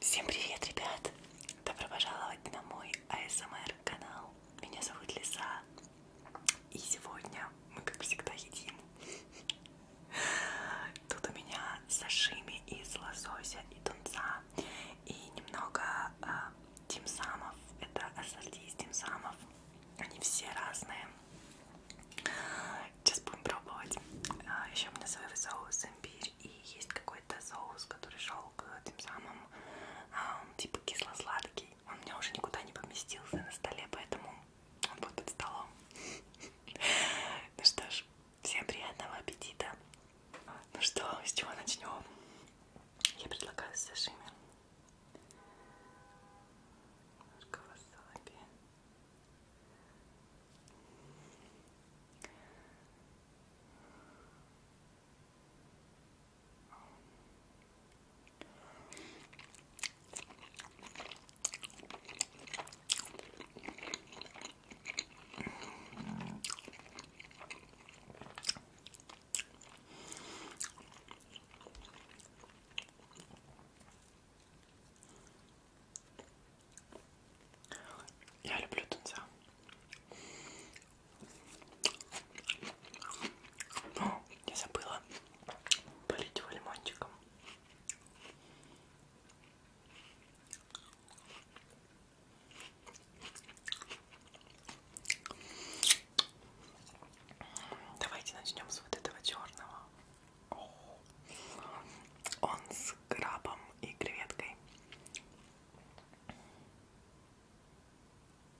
Всем привет, ребят! Добро пожаловать на мой АСМР канал. Меня зовут Лиса. И сегодня мы, как всегда, едим. Тут у меня сашими из лосося и тунца и немного э, тимсамов. Это ассорти из тимсамов. Они все разные. Сейчас будем пробовать. А, еще у меня соевый соус имбирь и есть какой-то соус, который шел к тем самым а, типа кисло-сладкий он у меня уже никуда не поместился на столе, поэтому он будет под столом. Ну что ж, всем приятного аппетита. Ну что, с чего начнем? Я предлагаю сашими. Немножко васаби. Я люблю тунца. О, я забыла. Полить его лимончиком. Давайте начнем с вот этого черного. Он с крабом и креветкой.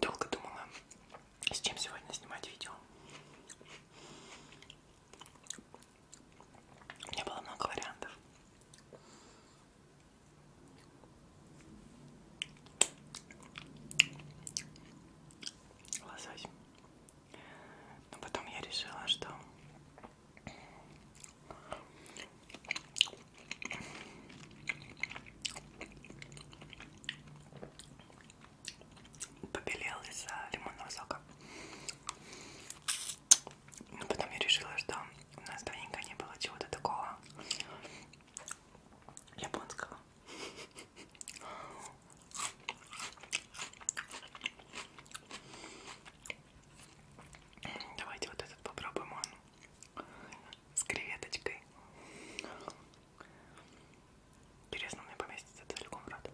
Долго думала, с чем сегодня снимать видео. У меня было много вариантов. Лосось но потом я решила, что побелел из-за лимонного сока. Но потом я решила, что у нас давненько не было чего-то такого японского. Давайте вот этот попробуем, он с креветочкой. Интересно, мне поместится целиком в рот.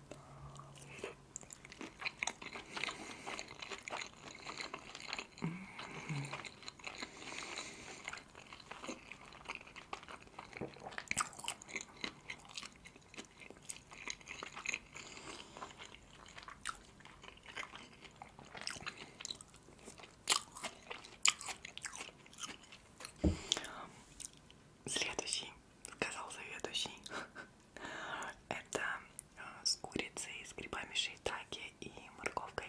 Следующий, сказал заведующий, это а, с курицей, с грибами шейтаки и морковкой.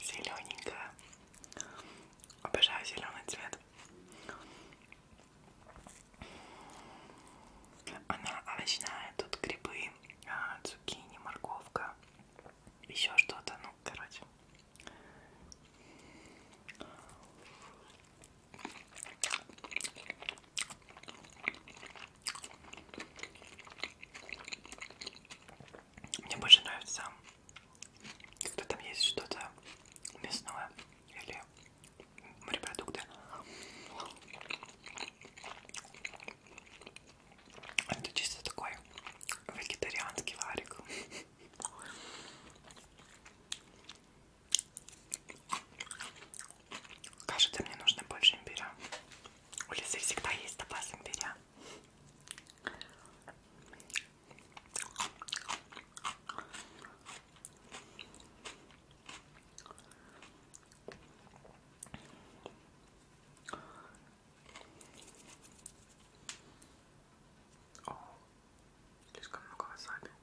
Зелененькая. Обожаю зеленый цвет. Она овощная, тут грибы, а, цукини, морковка, еще что-то, ну, короче. Мне больше нравится, когда там есть что-то мясное или морепродукты. Это чисто такой вегетарианский варик. Кажется, мне нужно больше имбиря. У Лизы всегда есть запас имбиря. О, слишком много васаби.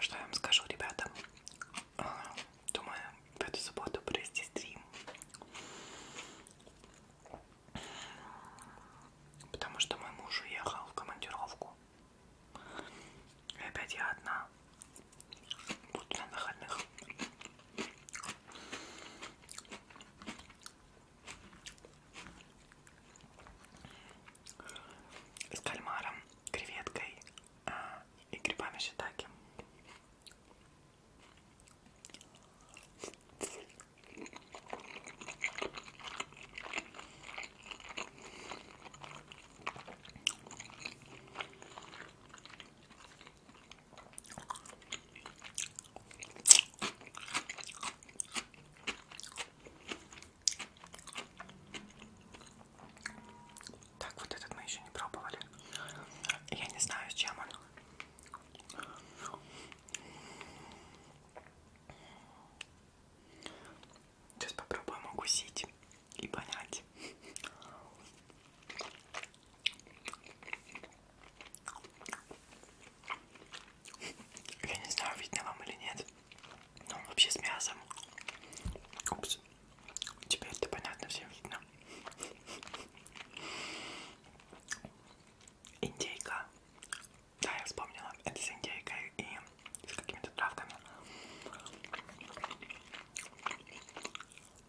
Что я вам скажу, ребята? А, думаю, в эту субботу провести стрим. Потому что мой муж уехал в командировку. И опять я одна. Буду на выходных. С кальмаром, креветкой а, и грибами шитаки. Так, вот этот мы еще не пробовали. Я не знаю, с чем он. Сейчас попробуем укусить и понять. Я не знаю, видно вам или нет. Но он вообще с мясом. Упс. Теперь это понятно, всем видно. Индейка. Да, я вспомнила. Это с индейкой и с какими-то травками.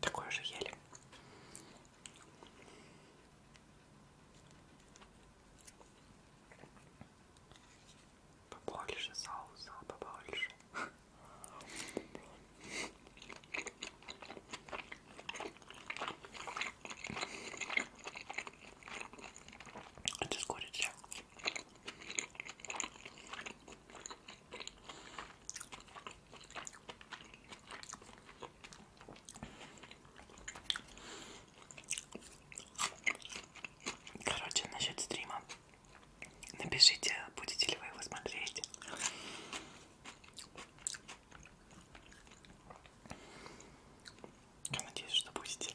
Такое же ели. Побольше соуса, побольше. Это а с курицей. Короче, насчет стрима. Напишите, будете ли вы его смотреть. Я надеюсь, что будете.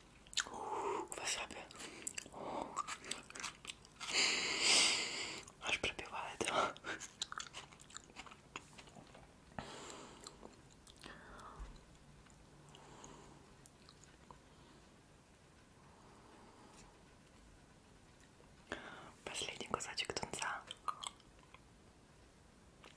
Васаби. Аж пробивает. Последний кусочек тунца.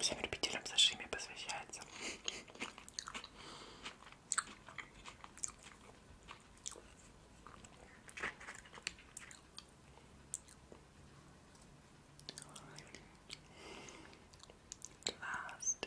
Всем любителям сашими посвящается. Last.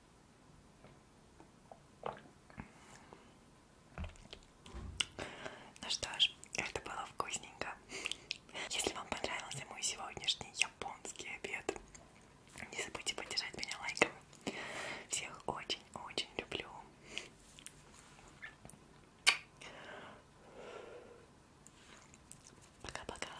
Ну что ж, это было вкусненько. Если вам понравился мой сегодняшний японский обед, не забудьте поддержать меня лайком. Всех очень-очень люблю. Пока-пока.